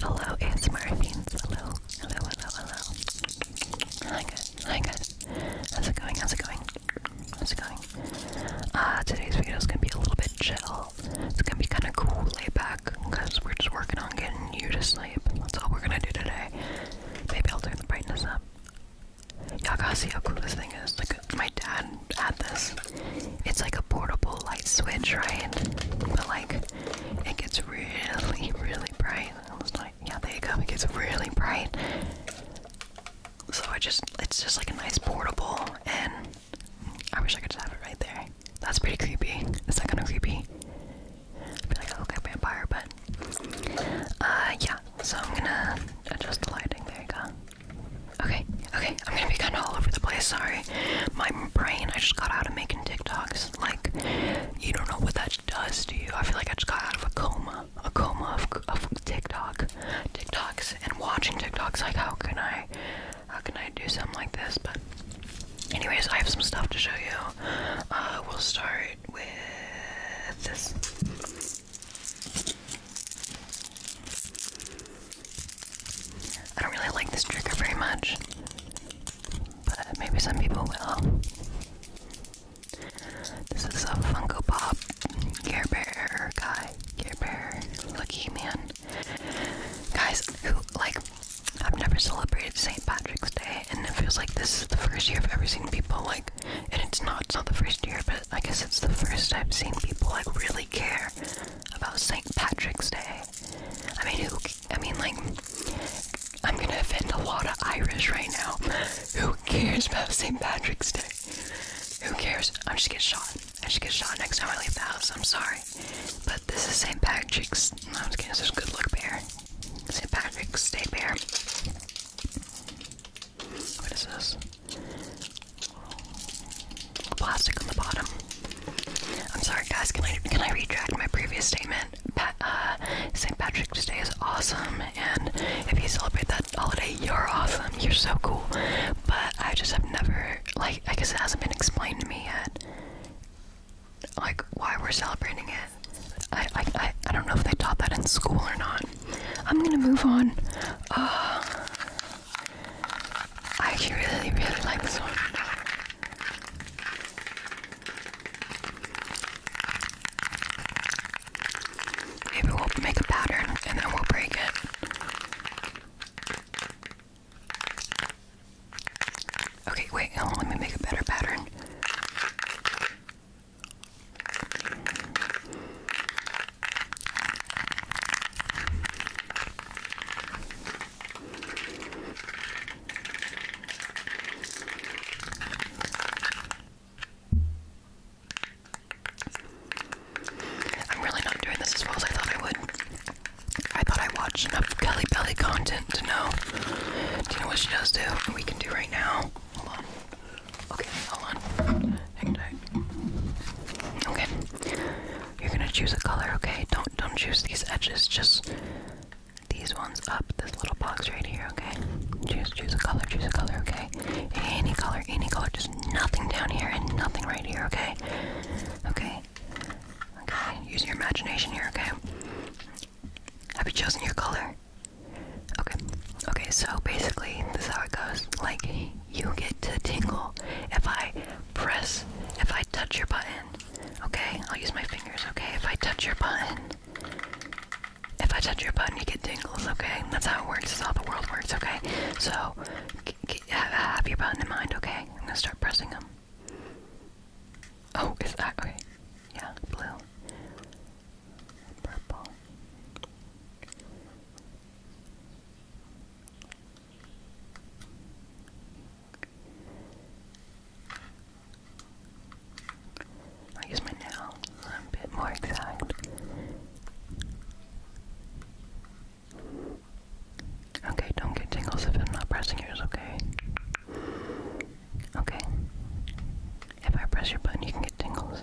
Hello, ASMR fiends. Hello, hello, hello, hello. Hi guys, hi guys. How's it going? How's it going? How's it going? Uh, today's video is gonna be a little bit chill. It's gonna be kind of cool, laid back, because we're just working on getting you to sleep. That's all we're gonna do today. Maybe I'll turn the brightness up. Y'all gotta see how cool this thing is. Like my dad had this. It's like a portable light switch, right? But like it gets really, really bright. I was like, yeah, there you go. It gets really bright. So it just, it's just like a nice portable, and I wish I could just have it right there. That's pretty creepy. That's that kind of creepy? I feel like a vampire, but uh, yeah. So I'm gonna adjust the lighting. There you go. Okay, okay. I'm gonna be kind of all over the place. Sorry, my brain. I just got out of making TikToks. Like, you don't know what that does to you. I feel like I just got out of a coma, a coma of, of TikTok, TikToks, and watching TikToks. Like, how can I, how can I do something like this? But, anyways, I have some stuff to show you. Uh, we'll start with this. I don't really like this trigger very much, but maybe some people will. This is a Funko Pop Care Bear guy, Care Bear lucky man. Guys, who like I've never celebrated St. Patrick's Day, and it feels like this is the first year I've ever seen people like, and it's not, it's not the first year, but I guess it's the first I've seen people like really care about St. Patrick's Day. I mean, who? I mean, like, I'm gonna offend a lot of Irish right now. Who cares about St. Patrick's Day? Who cares? I should get shot. I should get shot next time I leave the house. I'm sorry, but this is St. Patrick's. No, I'm just kidding. This is good luck bear. St. Patrick's Day bear. What is this? plastic on the bottom. I'm sorry, guys. Can I can I retract my previous statement? Uh, St. Patrick's Day is awesome, and if you celebrate that holiday, you're awesome. You're so cool. But I just have never like I guess it hasn't been explained to me yet. Like why we're celebrating it. I I I, don't know if they taught that in school or not. I'm gonna move on. Uh, I actually really, really like this one. Maybe we'll make a pattern and then we'll break it. Okay, wait, let me make a better pattern. I'm really not doing this as well as I thought I would. I thought I watched enough Kelly Belly content to know. Do you know what she does do? What we can do right now. Hold on. Okay, hold on. Hang tight. Okay. You're gonna choose a color, okay? Don't don't choose these edges, just these ones up, this little box right here, okay? Choose choose a color, choose a color, okay? Any color, any color, just nothing down here and nothing right here, okay? Okay. Okay, use your imagination here, okay? Have you chosen your color? Okay. Okay, so basically this is how it goes. Like you get to tingle if I press, if I touch your button. Okay? I'll use my fingers, okay? If I touch your button, if I touch your button, you get tingles, okay? That's how it works. That's how the world works, okay? So, have your button in mind, okay? I'm gonna start pressing them. Oh, is that okay? Yeah, blue, purple. I'll use my nail. i a bit more exact. Okay, don't get tingles if I'm not pressing yours, okay? Okay. If I press your button, you can get tingles.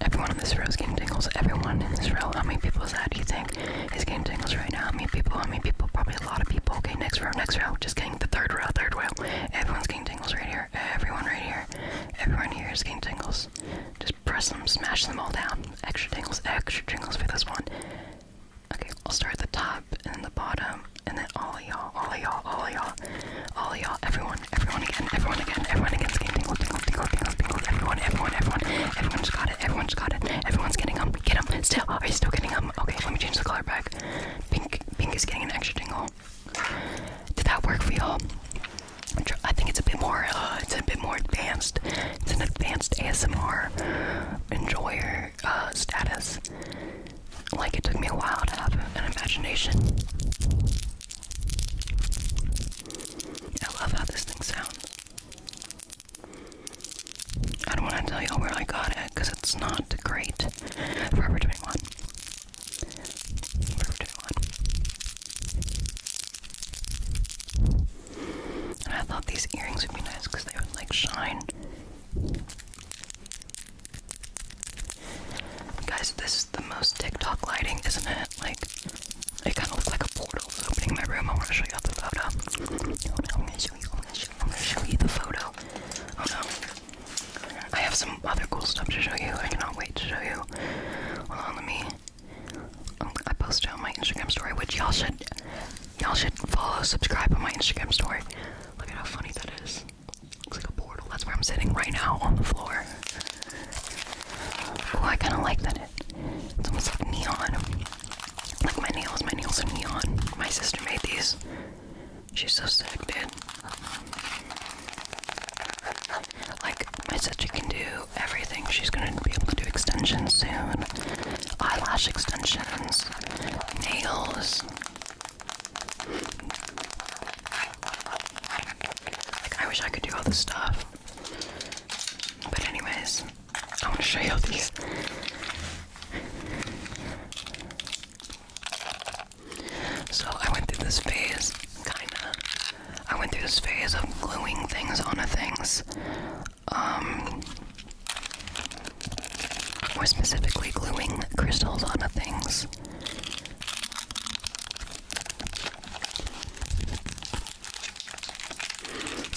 Everyone in this row is getting tingles. Everyone in this row. How many people is that? Do you think is getting tingles right now? How many people? How many people? Probably a lot of people. Okay, next row, next row. Just getting the third row, third row. Everyone's getting tingles right here. Everyone right here. Everyone here is getting tingles. Just press them, smash them all down. Extra tingles, extra tingles for this one. Okay, I'll start at the top top and the bottom, and then all y'all, all y'all, all y'all, all y'all, everyone, everyone again, everyone again, everyone again, skin tingle, tingle, tingle, tingles, tingles, everyone, everyone, everyone, everyone's got it, everyone's got it, everyone's getting them, get them, still, are you still getting them? Okay, let me change the color back. Pink, pink is getting an extra tingle. Did that work for y'all? I think it's a bit more, uh, it's a bit more advanced. It's an advanced ASMR enjoyer. Uh, status. Like it took me a while to have an imagination. I love how this thing sounds. I don't want to tell y'all where I got it because it's not great. Forever 21. Forever 21. I thought these earrings would be nice because they would like shine. Guys, this is the most TikTok lighting, isn't it? Like, it kind of looks like a portal is opening in my room. I want to show you the photo. Oh I'm going to show you. I'm going to show, show you the photo. Oh no. I have some other cool stuff to show you. I cannot wait to show you. Hold on, let me. Um, I posted on my Instagram story, which y'all should, y'all should follow, subscribe on my Instagram story. Look at how funny that is. Looks like a portal. That's where I'm sitting right now on the floor. Oh, I kind of like that. It, it's almost like neon. Like my nails. My nails are neon. My sister made these. She's so sick, dude. Like my sister can do everything. She's gonna be able to do extensions soon. Eyelash extensions, nails. I wish I could do all this stuff. But, anyways, I want to show you all these. So, I went through this phase, kinda. I went through this phase of gluing things onto things. Um, more specifically, gluing crystals onto things.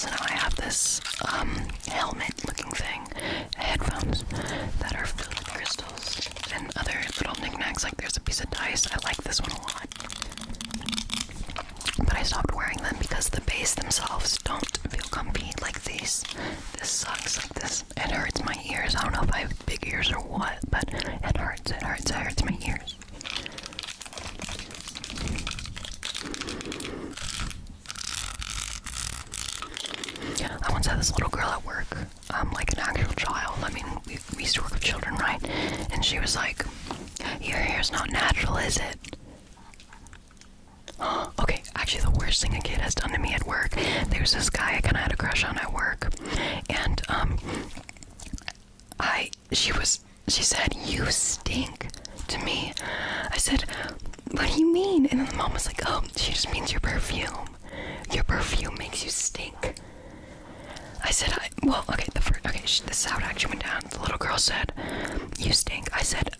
So now I have this um, helmet looking thing, headphones that are filled with crystals and other little knickknacks. Like there's a piece of dice. I like this one a lot. But I stopped wearing them because the base themselves don't feel comfy like these. This sucks. Like this, it hurts my ears. I don't know if I have big ears or what, but it hurts. It hurts. It hurts my ears. I once had this little girl at work, I'm um, like an actual child. I mean, we, we used to work with children, right? And she was like, "Your hair's not natural, is it?" okay, actually, the worst thing a kid has done to me at work. There's this guy I kind of had a crush on at work, and um, I she was she said you stink to me. I said, what do you mean? And then the mom was like, oh, she just means your perfume. Your perfume makes you stink. I said, I, well, okay, the first, okay, she, this is actually went down. The little girl said, you stink. I said,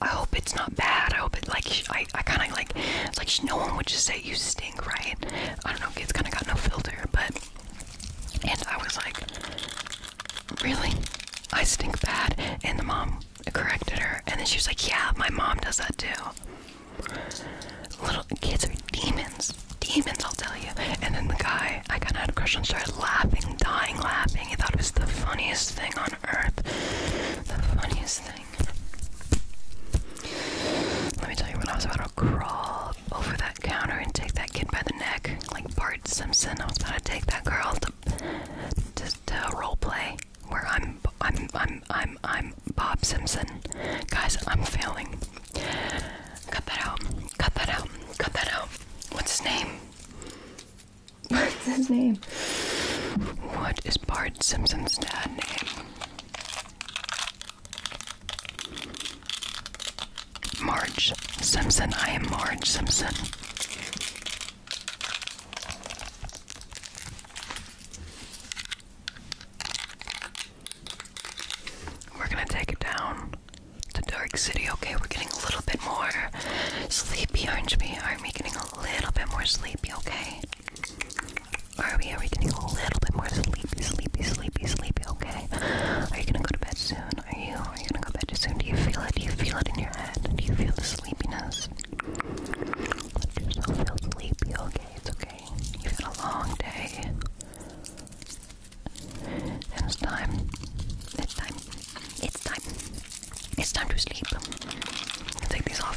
I hope it's not bad. I hope it like I, I kind of like it's like no one would just say you stink, right? I don't know. It's kind of got no filter, but and I was like, really, I stink bad, and the mom corrected her, and then she was like, yeah, my mom does that too. Little kids are demons, demons, I'll tell you. And then the guy, I kind of had a crush on, started laughing, dying laughing. He thought it was the funniest thing on earth. The funniest thing. Let me tell you, when I was about to crawl over that counter and take that kid by the neck, like Bart Simpson, I was about to take that girl to to, a role play where I'm I'm I'm I'm I'm Bob Simpson. Guys, I'm failing. Cut that out. Cut that out. Cut that out. What's his name? What's his name? What is Bart Simpson's dad name? Marge Simpson. I am Marge Simpson. We're going to take it down the dark city. Okay, we're getting a little bit more sleepy, aren't we? getting a little bit more sleepy? Okay. Are we? Are we getting a little bit more sleepy, sleepy, sleepy, sleepy? Okay. Are you gonna go to bed soon? Are you? Are you gonna go to bed soon? Do you feel it? Do you feel it in your head? Do you feel the sleepiness? Let yourself feel sleepy. Okay, it's okay. You've had a long day. And it's time. It's time. It's time. It's time to sleep. take these off.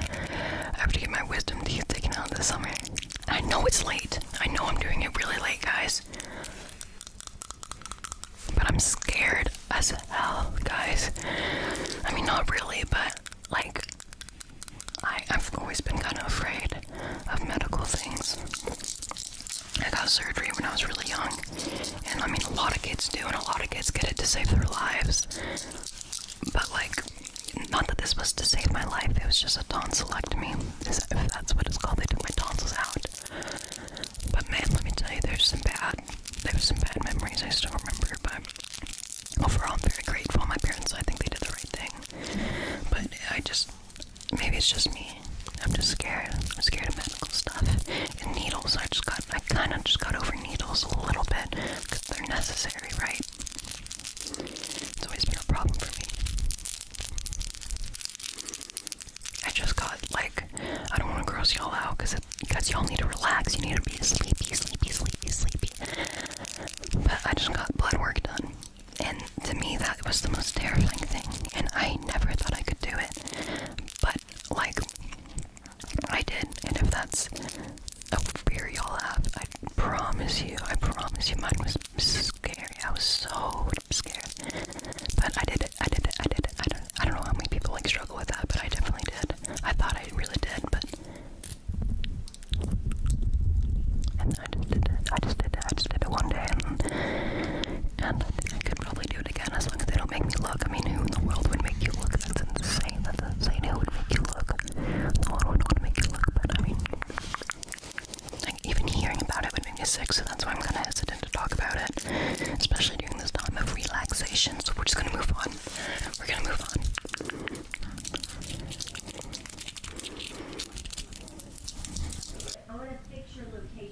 I have to get my wisdom teeth taken out this summer. I know it's late. I know I'm doing it really late, guys. But I'm scared as hell, guys. I mean, not really, but like, I, I've always been kind of afraid of medical things. I got surgery when I was really young, and I mean, a lot of kids do, and a lot of kids get it to save their lives. But, like, not that this was to save my life, it was just a tonsillectomy. If that's what it's called, they took my tonsils out. But, man, let me tell you, there's some bad, there's some bad memories I still remember, but overall, I'm very grateful. My parents, I think they did the right thing. But I just, maybe it's just me, I'm just scared. I'm scared of medical stuff and needles. I just got, I kind of just got over needles a little bit because they're necessary, right? It's always been a problem for me. I just got like, I don't want to gross y'all out because because y'all need to relax. You need to be sleepy, sleepy, sleepy, sleepy. But I just got blood work done. And to me, that was the most terrifying thing. And I never thought I could do it. But like I did, and if that's a fear y'all have, I promise you, I promise you, mine was scary. I was so scared, but I did it. I did it. I did it. I don't. I don't know how many people like struggle with that, but I definitely did. I thought I really did, but and I just did it. I just did it. I just did it one day, and, I could probably do it it again as long as they don't make me look. I mean, who in the world would make you look? That's insane. That's insane. Who would make you look? No one would want to make you look, but I mean, like, even hearing about it would make me sick, so that's why I'm kind of hesitant to talk about it, especially during this time of relaxation. So we're just gonna move on. We're gonna move on. I want to fix your location.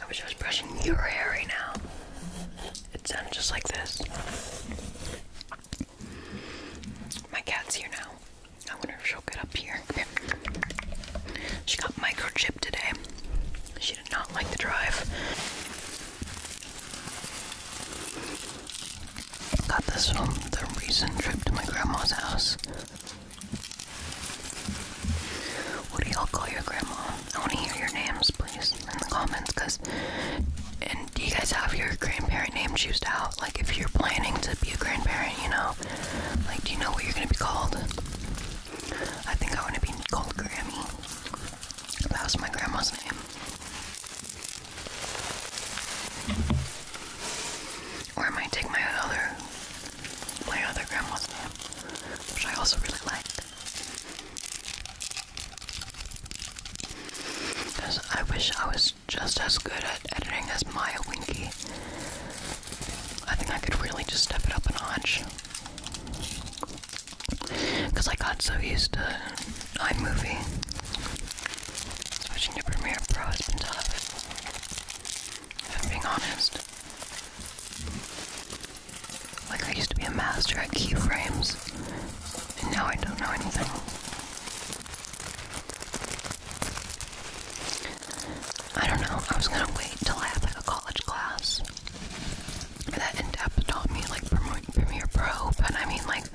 I wish I was brushing your hair right now. It sounds just like this. My cat's here now. I wonder if she'll get up here. She got microchipped today. She did not like the drive. Got this from the recent trip to my grandma's house. What do y'all call your grandma? I want to hear your names, please, in the comments, because. And do you guys have your grandparent name choosed out? Like, if you're planning to be a grandparent, you know? Like, do you know what you're gonna be called? I think I want to be called Grammy. That was my grandma's name. Or I might take my other my other grandma's name, which I also really liked. Because I wish I was just as good at editing as Maya Winky. I think I could really just step it up a notch. Because I got so used to iMovie. Switching to Premiere Pro has been tough. If I'm being honest. Like, I used to be a master at keyframes, and now I don't know anything. I don't know. I was gonna wait till I had like a college class that in-depth taught me like Premiere Pro, but I mean like,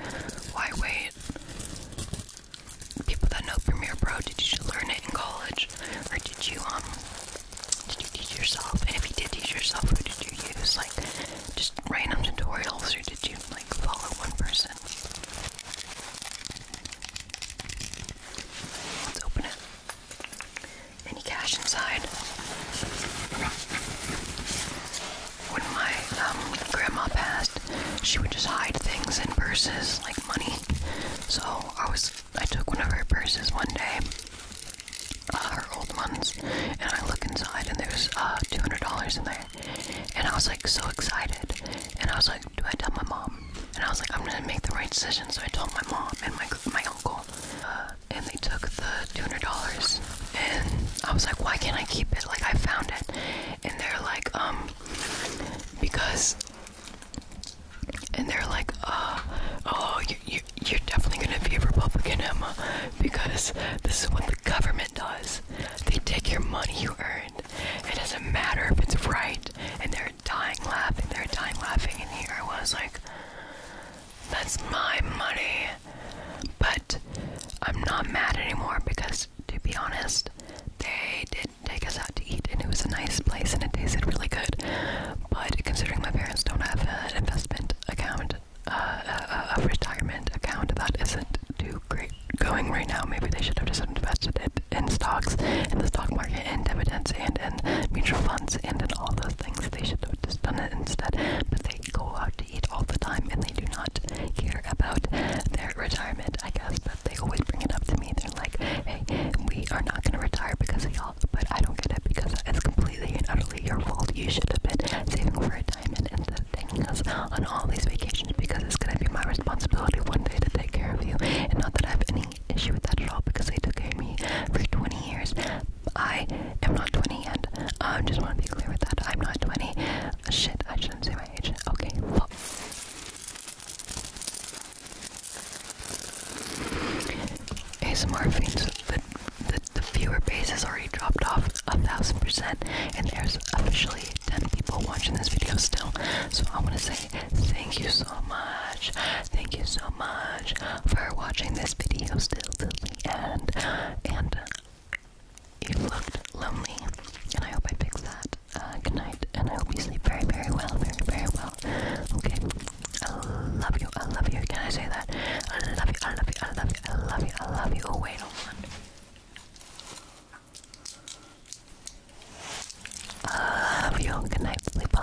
why wait? People that know Premiere Pro, did you learn it in college, or did you um, did you teach yourself? And if you did teach yourself, who did you use? Like, just random tutorials, or did you like follow one person? Let's open it. Any cash inside? When my um, grandma passed, she would just hide things in purses, like money. So I was, I took one of her purses one day, uh, her old ones, and I look inside and there's uh, $200 in there. And I was like so excited. And I was like, do I tell my mom? And I was like, I'm gonna make the right decision. So I told my mom and my my uncle. Uh, and they took the two hundred dollars and I was like, why can't I keep it? Like I found it, and they're like, um, because, and they're like, "Oh, oh, you, you you're definitely gonna be a Republican, Emma, because this is what the government does. They take your money you earned. It doesn't matter if it's right, and they're dying laughing. They're dying laughing, and here I was like. That's my money. But I'm not mad anymore because, to be honest, they did take us out to eat and it was a nice place and it tasted really good. But considering my parents don't have an investment account, uh, uh, uh, a, retirement account that isn't too great going right now, maybe they should have just invested it in stocks, in the stock market, in dividends, and in mutual funds, and in all the things they should have just done it instead. But they go out to eat all the time and they do not care about their retirement, I guess. But they always bring it up to me. They're like, hey, we are not going to retire because of y'all. But I don't get it because it's completely and utterly your fault. You should have been saving for retirement instead of taking us on all these vacations because it's going to be my responsibility one day to take care of you. And not that I have any issue with that at all because they took care of me for 20 years. I am not 20 and I um, just want to be clear with that. I'm not 20. Shit, I shouldn't say my age. Okay. Well. ASMR the, the viewer base has already dropped off a thousand percent, and there's officially 10 people watching this video still. So I want to say thank you so much. Thank you so much for watching this video till the end. And uh, you looked lonely, and I hope I fixed that. Uh, good night, and I hope you sleep very, very well, very, very well. Okay, I love you, I love you. Can I say that? I love you, I love you, I love you, I love you, I love you. Oh wait, hold on. I love you. Good night, sleep well.